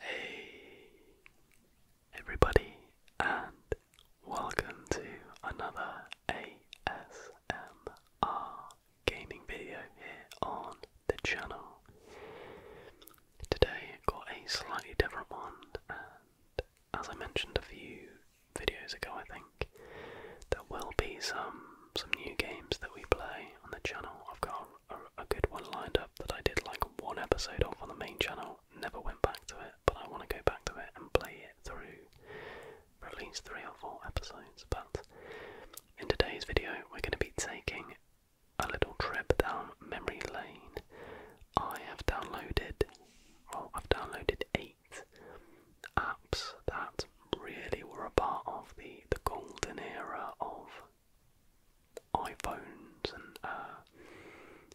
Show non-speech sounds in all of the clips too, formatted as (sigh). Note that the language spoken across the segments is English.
Hey everybody and welcome to another ASMR gaming video here on the channel. Today I got a slightly different one and as I mentioned a few videos ago I think there will be some some new games that we play on the channel. I've got a, good one lined up that I did like one episode of on the main channel, never went back to it, but I want to go back to it and play it through for at least three or four episodes. But in today's video, we're going to be taking a little trip down memory lane. I have downloaded, well, I've downloaded eight apps that really were a part of the, the golden era of iPhones and uh,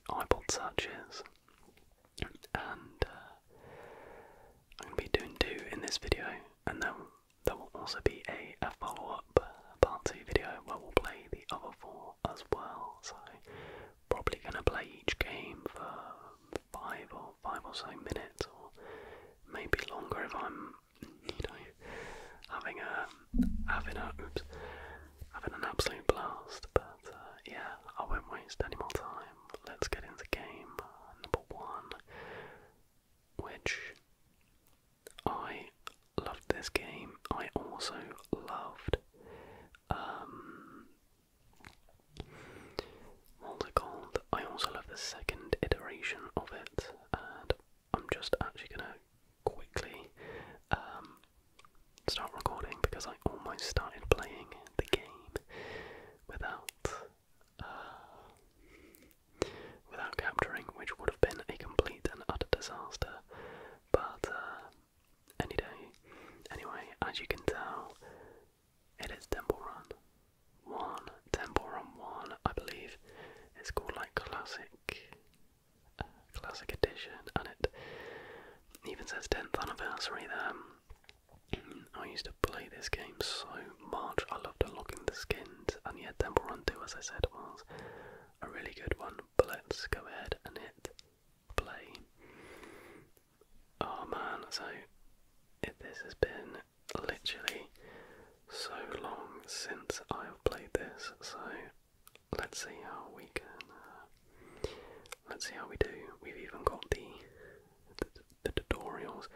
iPod searches, and uh, I'm going to be doing two in this video, and then there will also be a follow-up uh, part two video where we'll play the other four as well. So probably going to play each game for five or five or so minutes, or maybe longer if I'm having a having a having an absolute blast. But uh, yeah, I won't waste any more time. Let's get into game number one, which I loved this game. I also loved um what's it I also love the second iteration of it and I'm just actually gonna quickly um, start recording because I almost started playing the game without uh, without capturing, which would have been a complete and utter disaster. But uh, anyway, as you can tell, it is Temple Run. One Temple Run One, I believe, it's called like classic Classic Edition, and it even says 10th anniversary there. Mm, I used to play this game so much. I loved unlocking the skins, and yet Temple Run 2, as I said, was a really good one. But let's go ahead and hit play. Oh man, so it, this has been literally so long since I've played this, so let's see how we can. Uh, let's see how we do. We've even got the, the tutorials.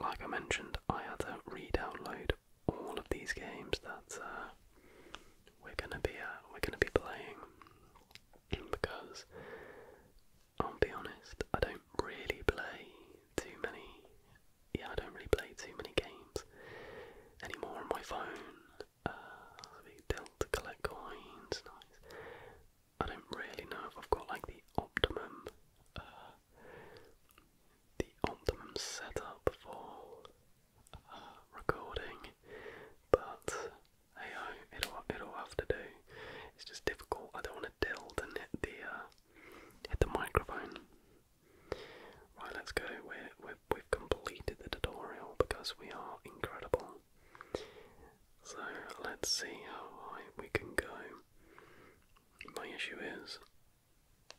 Like I mentioned, I had to re-download all of these games that uh, we're gonna be uh, we're gonna be playing because I'll be honest, I don't really play too many yeah, I don't really play too many games anymore on my phone. Uh, we dealt to collect coins. Nice. I don't really know if I've got like the optimum, uh, the optimum setup for uh, recording, but hey, oh, it'll it'll have to do. It's just difficult. I don't want to tilt hit the uh, hit the microphone. Right, let's go. We're, we've completed the tutorial because we are incredible. So let's see how high we can go. My issue is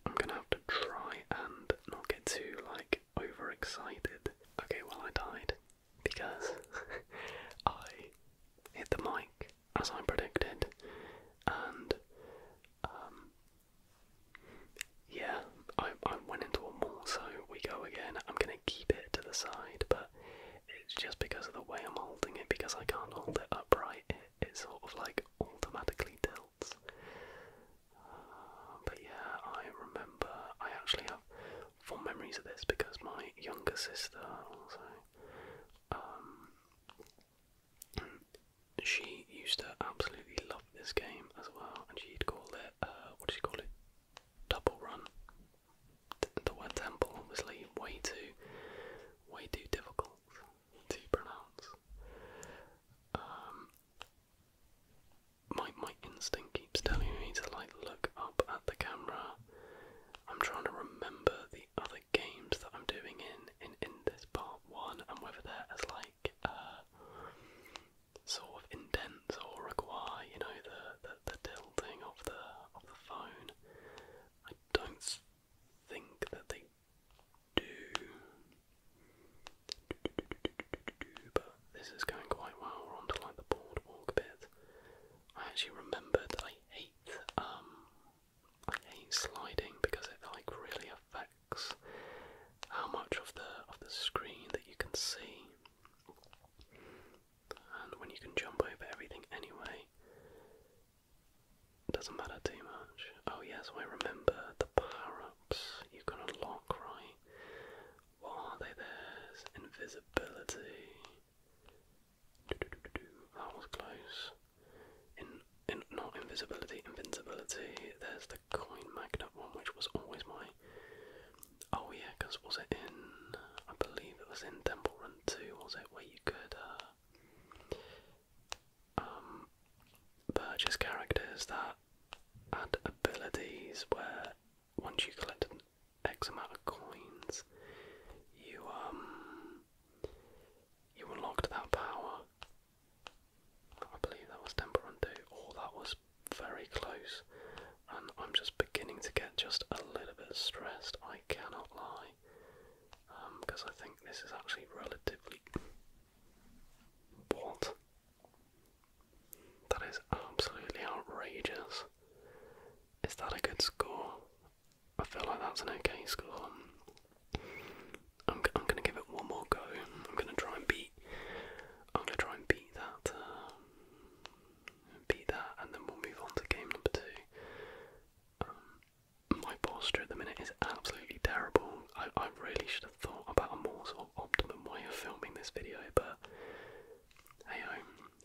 I'm gonna have to try and not get too like overexcited. Okay, well I died because (laughs) I hit the mic as I predicted, and um, yeah, I, I went into a mall, so we go again. I'm gonna keep it to the side, but it's just because of the way I'm holding it, because I can't hold it upright, it, sort of like automatically tilts. Uh, but yeah, I remember, I actually have fond memories of this because my younger sister also um, she used to absolutely love this game as well, and she'd call it, uh, what did she call it? Double run. The word temple, obviously, way too, way too difficult to pronounce. Um, my my instinct keeps telling me to like look up at the camera. I'm trying to remember the other games that I'm doing in in in this part one and whether they like uh, sort of indents or require, you know, the, the tilting of the of the phone. I don't think that they do. But this is going quite well. We're onto like the boardwalk bit. I actually remembered I hate um I hate sliding because it like really affects how much of the of the screen that you can see. And when you can jump over everything anyway, doesn't matter too much. Oh yes, I remember the power-ups you can unlock, right? What are they? There's invisibility. That was close. In, in not invisibility, invincibility. There's the coin magnet one, which was always my. Oh yeah, because was it in? I believe it was in Temple Run Two. Was it where you could uh, um purchase characters that had abilities where once you collected X amount of coins, you um you unlocked that power I believe that was Temperante. Oh, that was very close. And I'm just beginning to get just a little bit stressed, I cannot lie. Because um, I think this is actually relatively. What? That is absolutely outrageous. Is that a good score? I feel like that's an okay score. I'm, gonna give it one more go. I'm gonna try and beat. I'm gonna try and beat that. Um, beat that, and then we'll move on to game number two. Um, my posture at the minute is absolutely terrible. I, really should have thought about a more sort of optimum way of filming this video, but hey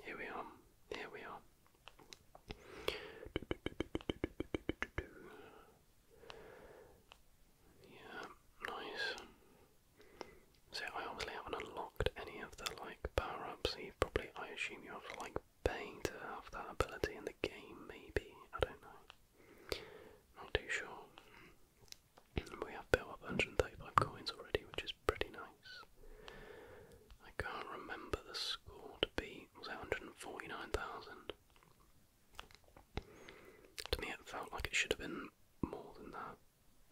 here we are. Here we are. Yeah, nice. So I obviously haven't unlocked any of the like power-ups. You probably, I assume, you have to like pay to have that ability in the game. Maybe I don't know. Not too sure. We have built up 135 coins already, which is pretty nice. I can't remember the score to beat. Was it 149,000? To me, it felt like it should have been more than that.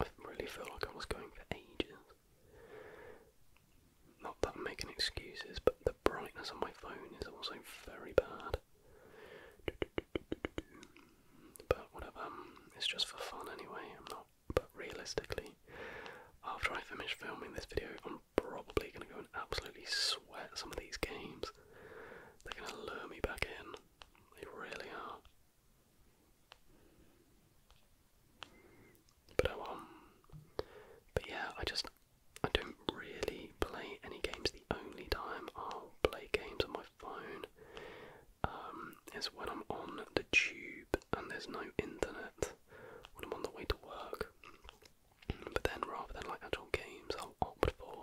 I really feel like I was going for ages. Not that I'm making excuses, but the brightness on my phone is also very bad. But whatever, um, it's just for fun anyway. I'm not. But realistically, after I finish filming this video, I'm probably gonna go absolutely sweat some of these games. They're going to lure me back in. They really are. But um, But yeah, I just I don't really play any games. The only time I'll play games on my phone um, is when I'm on the tube and there's no internet. When I'm on the way to work, but then rather than like actual games, I'll opt for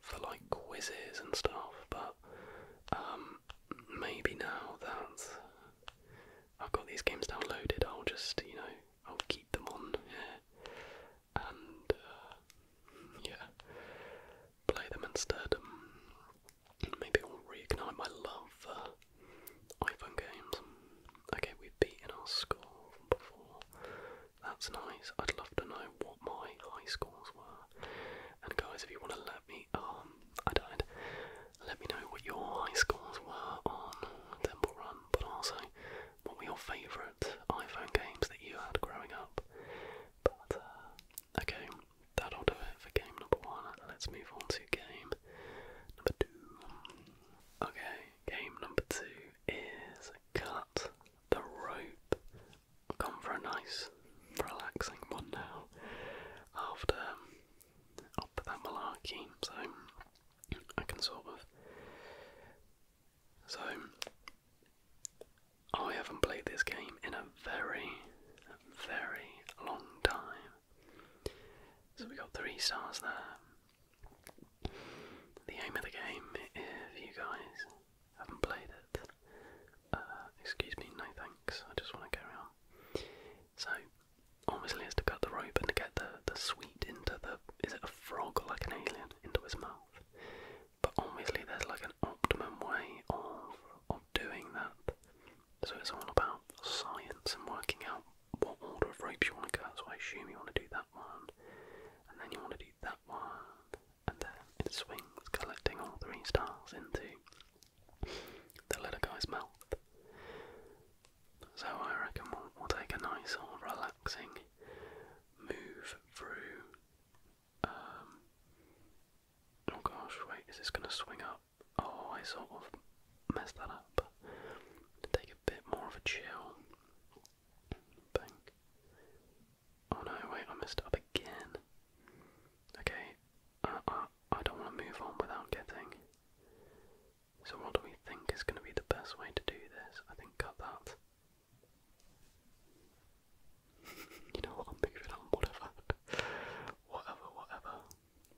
for like quizzes and stuff. But um, maybe now that I've got these games downloaded, I'll just you know I'll keep them on and uh, yeah, play them instead. maybe it will reignite my love for iPhone games. Okay, we've beaten our score before. That's nice. I'd love to know what my high scores were. And guys, if you want to let me, um, I don't. Let me know what your high schools were on Temple Run, but also what were your favourite iPhone games that you had growing up. But uh, okay, that'll do it for game number one. Let's move on to game number two. Okay, game number two is cut the rope. I've gone for a nice, relaxing one now. After i um, that malarkey, so I can sort of. So I haven't played this game in a very, very long time. So we got three stars there. The aim of the game, if you guys haven't played it, uh, excuse me, no thanks, I just want to carry on. So, obviously, it's to cut the rope and get the, the sweet into the. Is it a frog or like an alien? Into his mouth. But obviously, there's like an optimum way of, of doing that. So, it's all about science and working out what order of ropes you want to cut, so I assume you want to do that one, and then you want to do that one, and then it swings, collecting all three stars into the little guy's mouth. So I reckon we'll, take a nice sort of relaxing move through. Um, oh gosh, wait, is this going to swing up? Oh, I sort of messed that up. Take a bit more of a chill. Oh no, wait, I messed up again. Okay, uh, uh I don't want to move on without getting. So, what do we think is going to be the best way to do this? I think cut that. (laughs) you know what, I'm moving on, (laughs) whatever. whatever, whatever.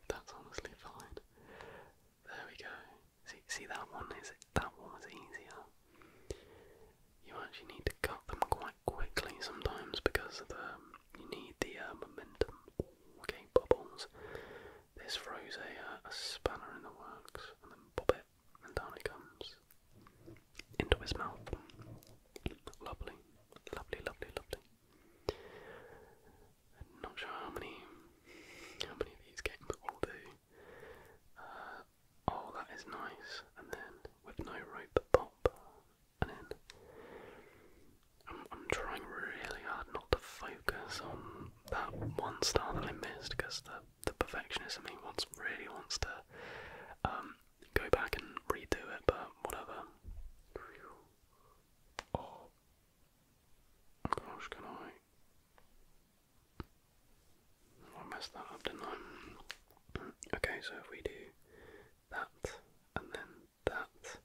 That's honestly fine. There we go. See, see that one is that one was easier. You actually need to cut them quite quickly sometimes because of the um, you need the uh, momentum. Okay, bubbles. This throws a, uh, a spanner in the works, and then pop it, and down it comes into his mouth. Lovely, lovely, lovely, lovely. not sure how many how many of these games will do. Uh, oh, that is nice. And then with no rope, pop. And then I'm, I'm trying really hard not to focus on that one star that I missed because the the perfectionist in me wants really wants to um, go back and redo it, but whatever. Oh. Gosh, can I I messed that up, did Okay, so if we do that, and then that,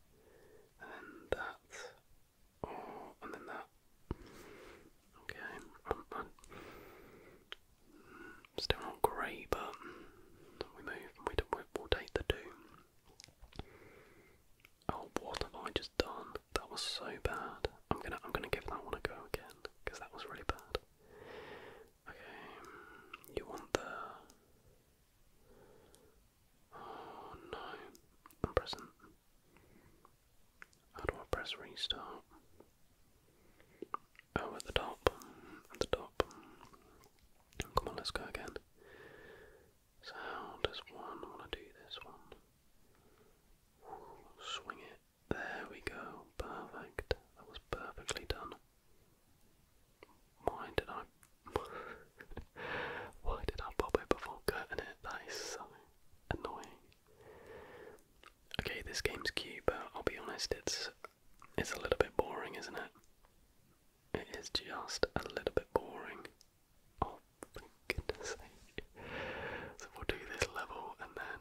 and then that, oh, and then that. Okay, am still not great, but we move, we, we'll take the two. Oh, what have I just done. That was so bad. I'm gonna I'm gonna give that one a go again because that was really bad. Okay, you want the? Oh no, I'm pressing. How do I press restart? Oh, at the top, at the top. Come on, let's go again. So how does one want to do this one? Swing it. There we go. Perfect. That was perfectly done. Why did I (laughs) Why did I pop it before cutting it? That is so annoying. Okay, this game's cute, but I'll be honest, it's it's a little bit boring, isn't it? It is just a little bit boring. Oh, goodness sake. So we'll do this level and then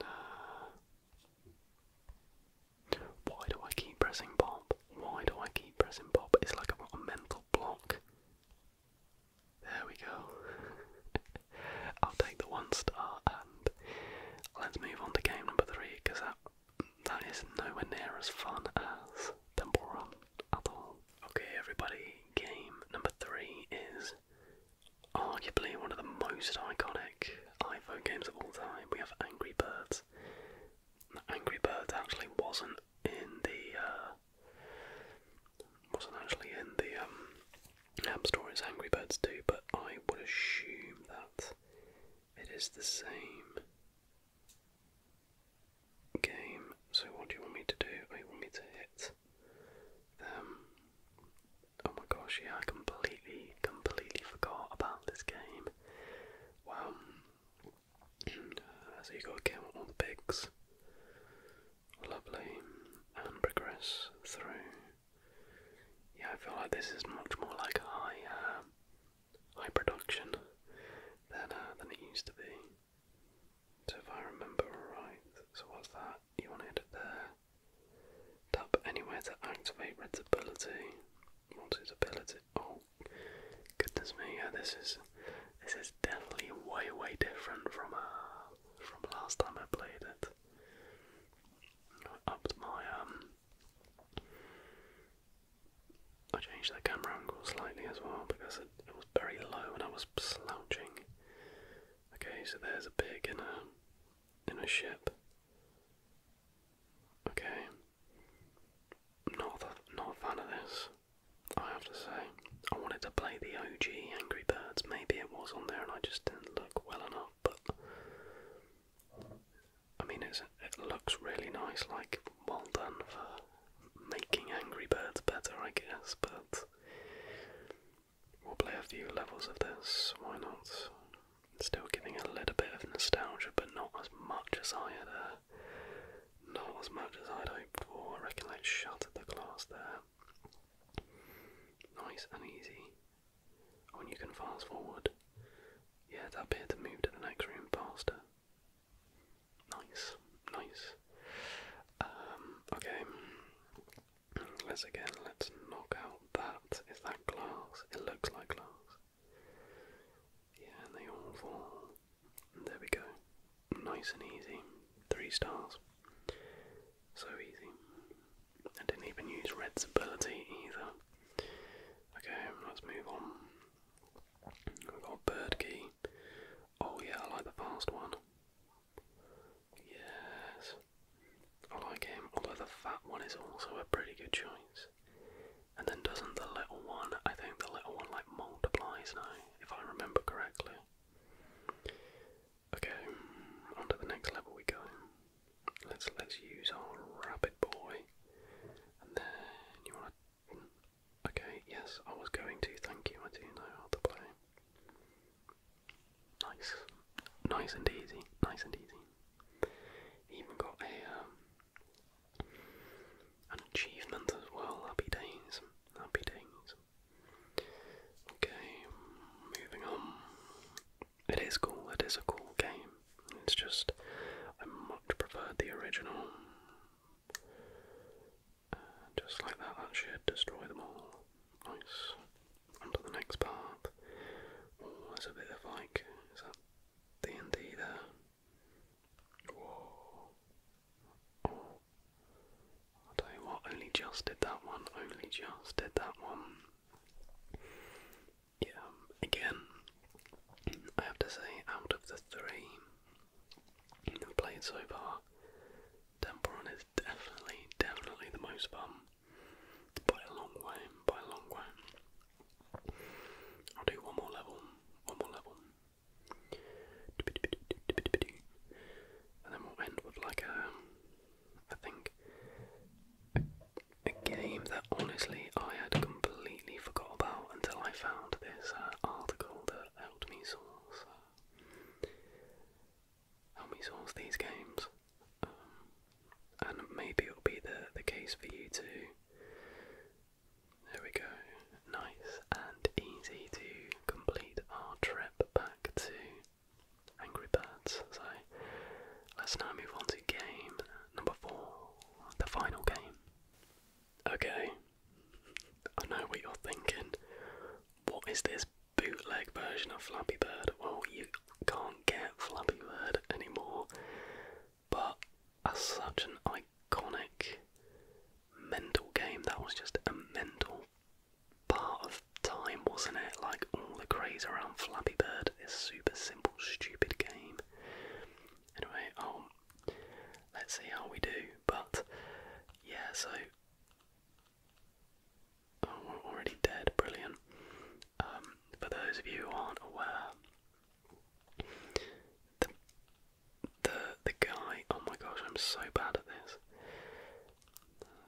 uh, why do I keep pressing pop? Why do I keep pressing pop? It's like I've got a mental block. There we go. (laughs) I'll take the one star and let's move on to game number three because that that is nowhere near as fun as Temple Run at all. Okay everybody, game number three is arguably one of the most iconic iPhone games of all time. We have Angry Birds. Angry Birds actually wasn't in the uh, wasn't actually in the um, App Store It's Angry Birds too, but I would assume that it is the same game. So what do you want me to do? Oh, you want me to hit um, oh my gosh, yeah, I completely, completely forgot about this game. Wow. (clears throat) uh, you got to all the pigs. Lovely. And progress through. Yeah, I feel like this is much more like high, uh, high production than, uh, than it used to be. So if I remember right, so what's that? You want to hit it there. Tap anywhere to activate Red's ability. What's his ability? Oh, goodness me! Yeah, this is this is definitely way way different from uh from last time I played it. I upped my um. I changed the camera angle slightly as well because it, it was very low and I was slouching. Okay, so there's a pig in a in a ship. Okay. Not not a fan of this. I have to say. I wanted to play the OG Angry Birds. Maybe it was on there and I just didn't look well enough, but I mean it's it looks really nice, like well done for making Angry Birds better, I guess, but We'll play a few levels of this, why not? Still giving a little bit of nostalgia, but not as much as I had, uh, not as much as I'd hoped for. I reckon let's the glass there. Nice and easy. Oh, and you can fast forward. Yeah, that bit to move to the next room faster. Nice, nice. Um, okay. Let's again, let's knock out that. Is that glass? It looks like glass. Yeah, and they all fall. And there we go. Nice and easy. Three stars. So easy. I didn't even use Red's ability either. Okay, let's move on. We've got Bird Key. Oh yeah, I like the fast one. Yes. I like him, although the fat one is also a pretty good choice. And then doesn't the little one, I think the little one like multiplies now, if I remember correctly. Okay, mm, on the next level we go. Let's let's use our rabbit boy. And then you want Okay, yes, I was going to, thank you, I do know how to play. Nice, nice and easy, nice and easy. Even got a um, an achievement as well. Happy days, happy days. Okay, moving on. It is cool. It is a cool game. It's just I much preferred the original just like that, that should destroy them all. Nice. On to the next part. Oh, there's a bit of like, is that D&D Oh. i tell you what, only just did that one, only just did that one. Yeah, again, I have to say, out of the three I've played so far, Temple is definitely, definitely the most fun. By a long way, by a long way. I'll do one more level, one more level. And then we'll end with like a, I think, a, game that honestly I had completely forgot about until I found this uh, article that helped me source. Help me source these games. Um, and maybe it'll be the, the case for you too. There we go. Nice and easy to complete our trip back to Angry Birds. So let's now move on to game number four, the final game. Okay, I know what you're thinking. What is this bootleg version of Flappy Bird. Well, you can't get Flappy Bird anymore, but as such an iconic mental game, that was just a mental part of time, wasn't it? Like all the craze around Flappy Bird, this super simple, stupid game. Anyway, um, let's see how we do, but yeah, so Oh, already dead. Brilliant. Um, for those of you who aren't aware, the the guy. Oh my gosh, I'm so bad at this.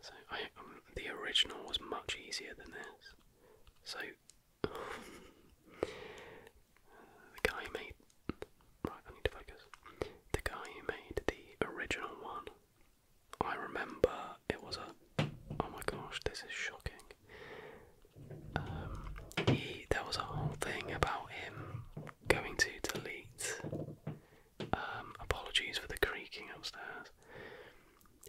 So um, the original was much easier than this. So (laughs) the guy made right. I need to focus. The guy who made the original one I remember it was a. Oh my gosh, this is shocking. Um, there was a whole thing about him going to delete. Um, apologies for the creaking upstairs.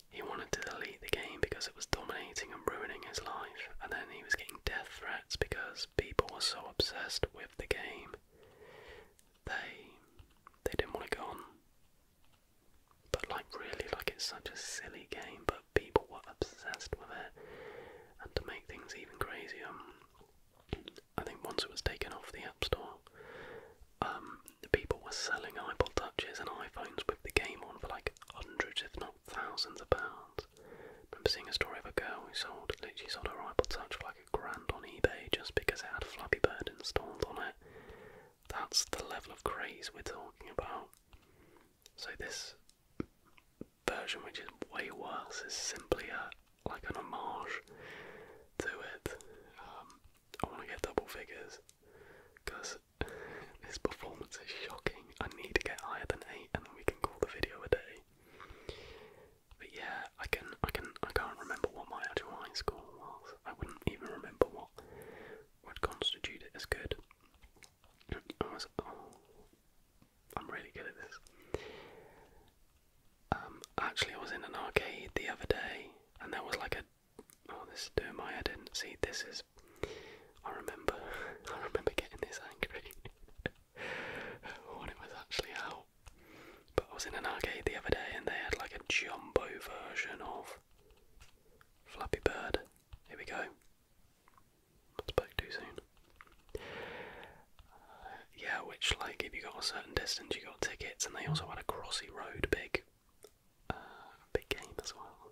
He wanted to delete the game because it was dominating and ruining his life, and then he was getting death threats because people were so obsessed with the game they they didn't want to go on. But like really, like it's such a silly game, but people were obsessed with it. And to make things even crazier, um, I think once it was taken off the App Store, um, the people were selling iPod touches and iPhones with the game on for like hundreds, if not thousands, of pounds. I remember seeing a story of a girl who sold literally sold her iPod touch for like grand on eBay just because it had Flappy Bird installed on it. That's the level of craze we're talking about. So this version, which is way worse, is simply a like an homage to it. Um, I want to get double figures because this performance is shocking. I need to get higher than eight, and then we can call the video a day. But yeah, I can I can I can't remember what my actual high school was. I wouldn't even remember what would constitute it as good. I was oh I'm really good at this. Um actually I was in an arcade the other day and there was like a oh this is doing my head See this is I remember (laughs) I remember getting this angry (laughs) when it was actually out but I was in an arcade the other day and they had like a jumbo version of Flappy Bird. Here we go. I spoke too soon. Uh, yeah, which like if you got a certain distance, you got tickets, and they also had a Crossy Road big, uh, big game as well.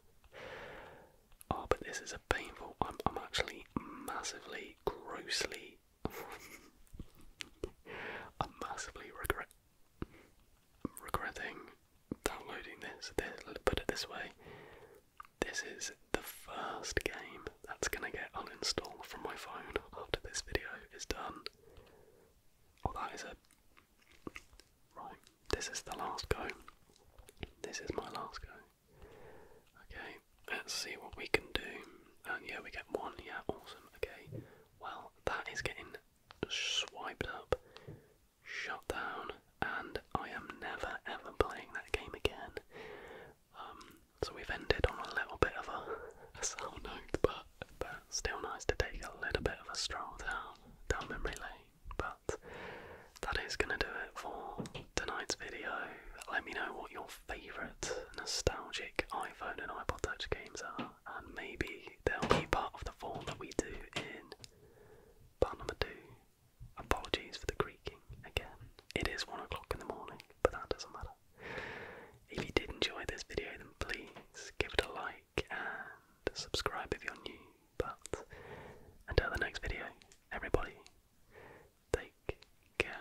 Oh, but this is a painful. I'm I'm actually massively, grossly (laughs) I massively regret regretting downloading this. this. put it this way: this is the first game that's gonna get uninstalled from my phone after this video is done. Well, oh, that is a right. This is the last go. This is my last go. Okay, let's see what we can do. And yeah, we get one. Yeah, awesome. Okay, well, that is getting swiped up, shut down, and I am never ever playing that game again. Um, so we've ended on a little bit of a, a sour note, but, but still nice to take a little bit of a stroll down, down memory lane. But that is going to do it for tonight's video. Let me know what your favourite nostalgic iPhone and iPod Touch games are, and maybe they'll be part of the form that we do in part number two. Apologies for the creaking again. It is one o'clock in the morning, but that doesn't matter. If you did enjoy this video, then please give it a like and subscribe if you're new. But until the next video, everybody, take care